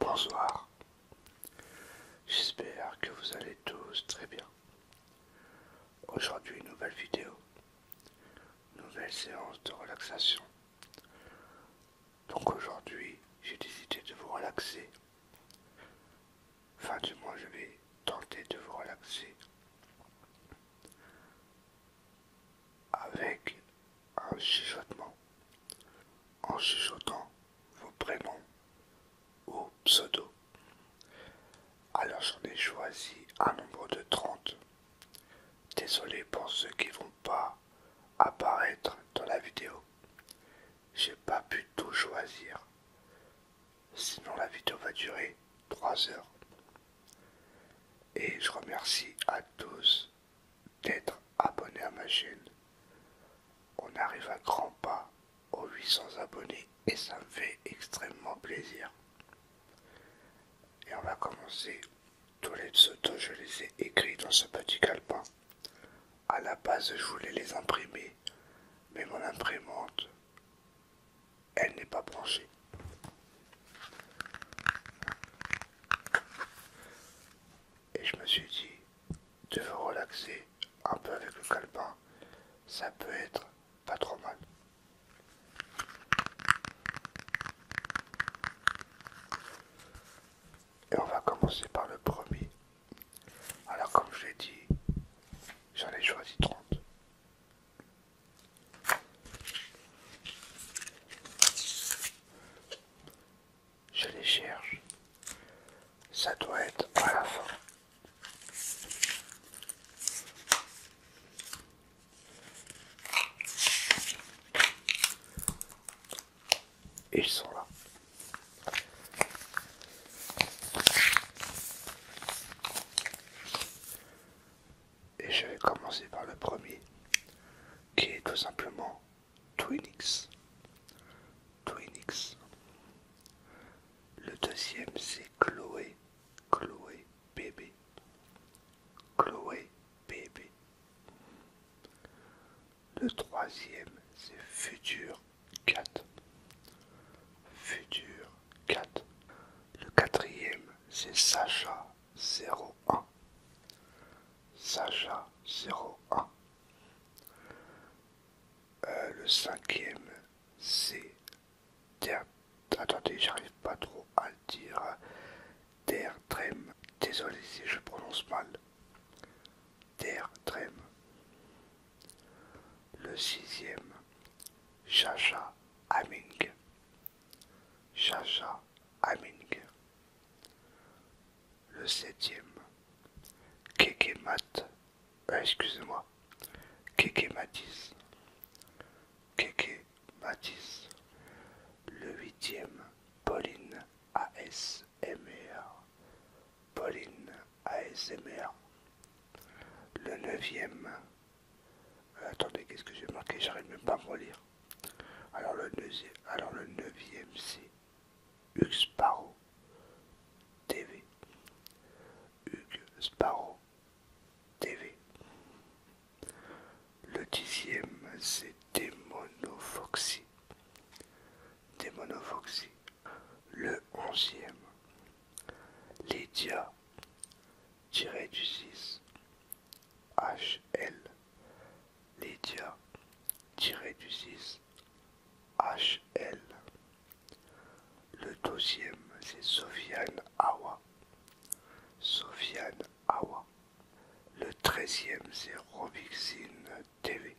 Bonsoir, j'espère que vous allez tous très bien. Aujourd'hui, nouvelle vidéo, nouvelle séance de relaxation. Donc aujourd'hui, j'ai décidé de vous relaxer. Enfin, du moins, je vais tenter de vous relaxer avec un chuchotement en chichotant vos prénoms ou pseudo Alors j'en ai choisi un nombre de 30. Désolé pour ceux qui vont pas apparaître dans la vidéo. J'ai pas pu tout choisir. Sinon la vidéo va durer 3 heures. Et je remercie à tous d'être abonnés à ma chaîne. On arrive à grands pas aux 800 abonnés et ça me fait extrêmement plaisir. Et on va commencer. Tous les pseudos, je les ai écrits dans ce petit calepin. À la base, je voulais les imprimer, mais mon imprimante, elle n'est pas branchée. Et je me suis dit de vous relaxer un peu avec le calepin, ça peut être pas trop mal. Et on va commencer par le premier. Alors comme je l'ai dit, j'en ai choisi 30. Je les cherche. Ça doit être à la fin. Et ils sont là. Et je vais commencer par le premier, qui est tout simplement Twinix. Twinix. Le deuxième, c'est Chloé. Chloé bébé. Chloé bébé. Le troisième, c'est Futur 4. Futur 4. Le quatrième, c'est Sacha 01. Sacha 01. Euh, le cinquième, c'est... Attendez, j'arrive pas trop à le dire. trem Désolé si je prononce mal. Der Le sixième, Chacha Aming. Chacha Aming. Le septième, Kekemat. Euh, excusez-moi, Kekematis. Keke Le huitième, Pauline ASMR, Pauline ASMR, le neuvième, euh, attendez, qu'est-ce que j'ai marqué J'arrive même pas à me relire. Alors le, neuvième alors le neuvième, c'est Hugues Sparrow TV. Hugues Sparrow TV. Le dixième, c'est Foxy Démonovoxie, le onzième. Lydia, tiré du 6. HL, Lydia, tiré du 6. HL. Le deuxième, c'est Sofiane Awa. Sofiane Awa. Le treizième, c'est Robixine TV,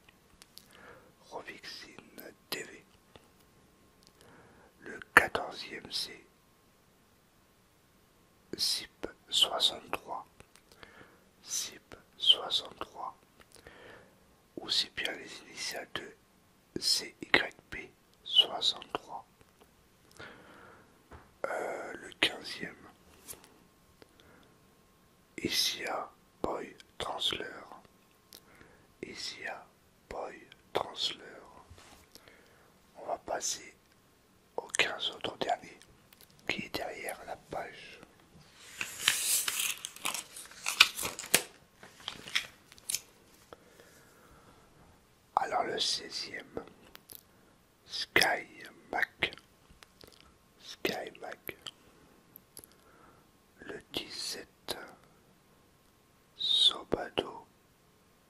Rovixine TV, le 14 c'est C, SIP 63, SIP 63, ou si bien les initiales de CYP 63. Euh, le 15e, ICA Boy Transler. a Boy Transler. On va passer aux 15 autres derniers qui est derrière la page. Alors le 16e, Sky Mac, Skymac. Le 17, Sobado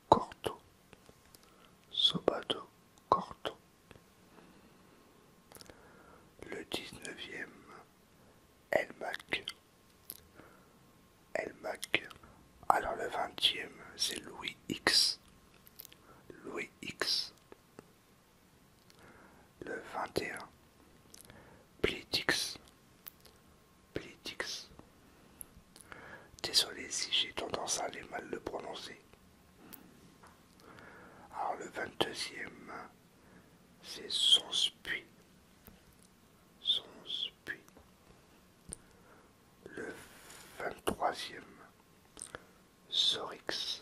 Corto. Sobado Corto. Le 19e, El Mac, Alors le vingtième c'est Louis X. Louis X. Le 21. plix plix Désolé si j'ai tendance à aller mal le prononcer. Alors le 22e, c'est sonspui. Sonspui. Le 23e, Sorix.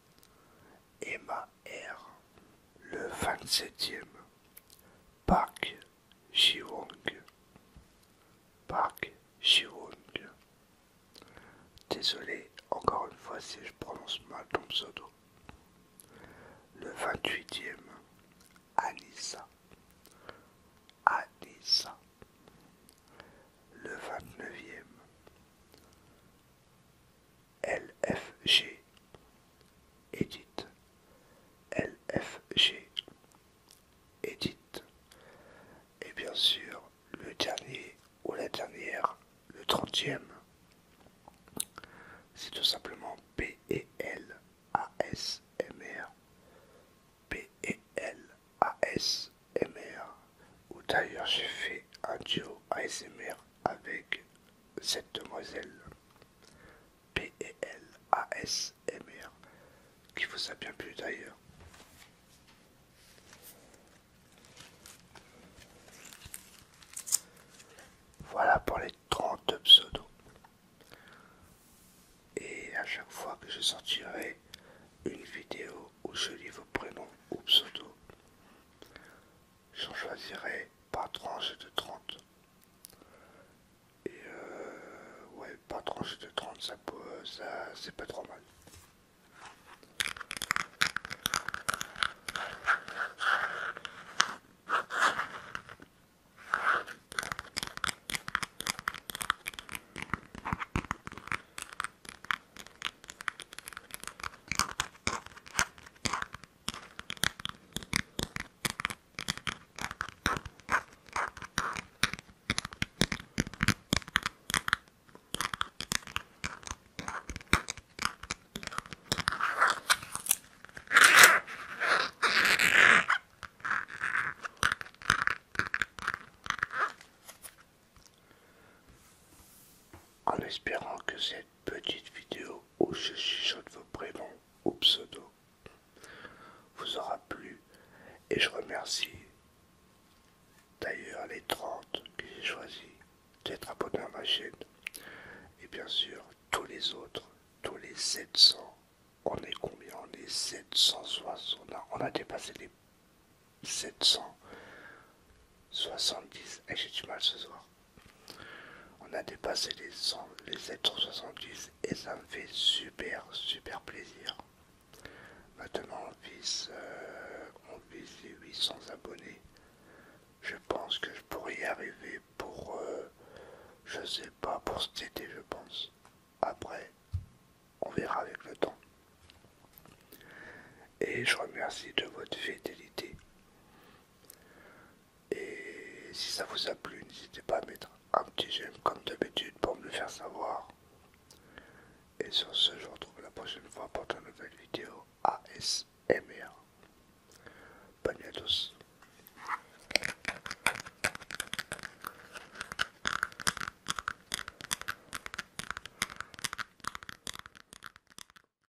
Emma R, le 27e, Park ji Pak Park ji Désolé encore une fois si je prononce mal ton pseudo. Le 28e, Anissa. Anissa. Le 29e, LFG. Edit. LFG. Edit. Et bien sûr, le dernier ou la dernière, le trentième, c'est tout simplement P -E L A P -E L A Ou d'ailleurs j'ai fait un duo ASMR avec cette demoiselle P-E-L-A-S-M-R e qui vous a bien plu d'ailleurs. Voilà pour les 30 pseudos. Et à chaque fois que je sortirai une vidéo où je lis vos prénoms ou pseudos, j'en choisirai pas tranche de 30. Et euh, ouais, pas tranche de 30, ça, ça c'est pas trop mal. En espérant que c'est petite vidéo où je chuchote vos prénoms ou pseudos vous aura plu et je remercie d'ailleurs les 30 que j'ai choisi d'être abonnés à ma chaîne et bien sûr tous les autres, tous les 700. On est combien On est 760. On a, on a dépassé les 770. Et j'ai du mal ce soir. On a dépassé les les 770 et ça me fait super super plaisir. Maintenant on vise, euh, les 800 abonnés. Je pense que je pourrais y arriver pour, euh, je sais pas, pour cet été je pense. Après, on verra avec le temps. Et je remercie de votre fidélité. Et si ça vous a plu, n'hésitez pas à mettre un petit j'aime comme d'habitude pour me le faire savoir. Et sur ce, je vous retrouve la prochaine fois pour une nouvelle vidéo ASMR. Bonne nuit à tous.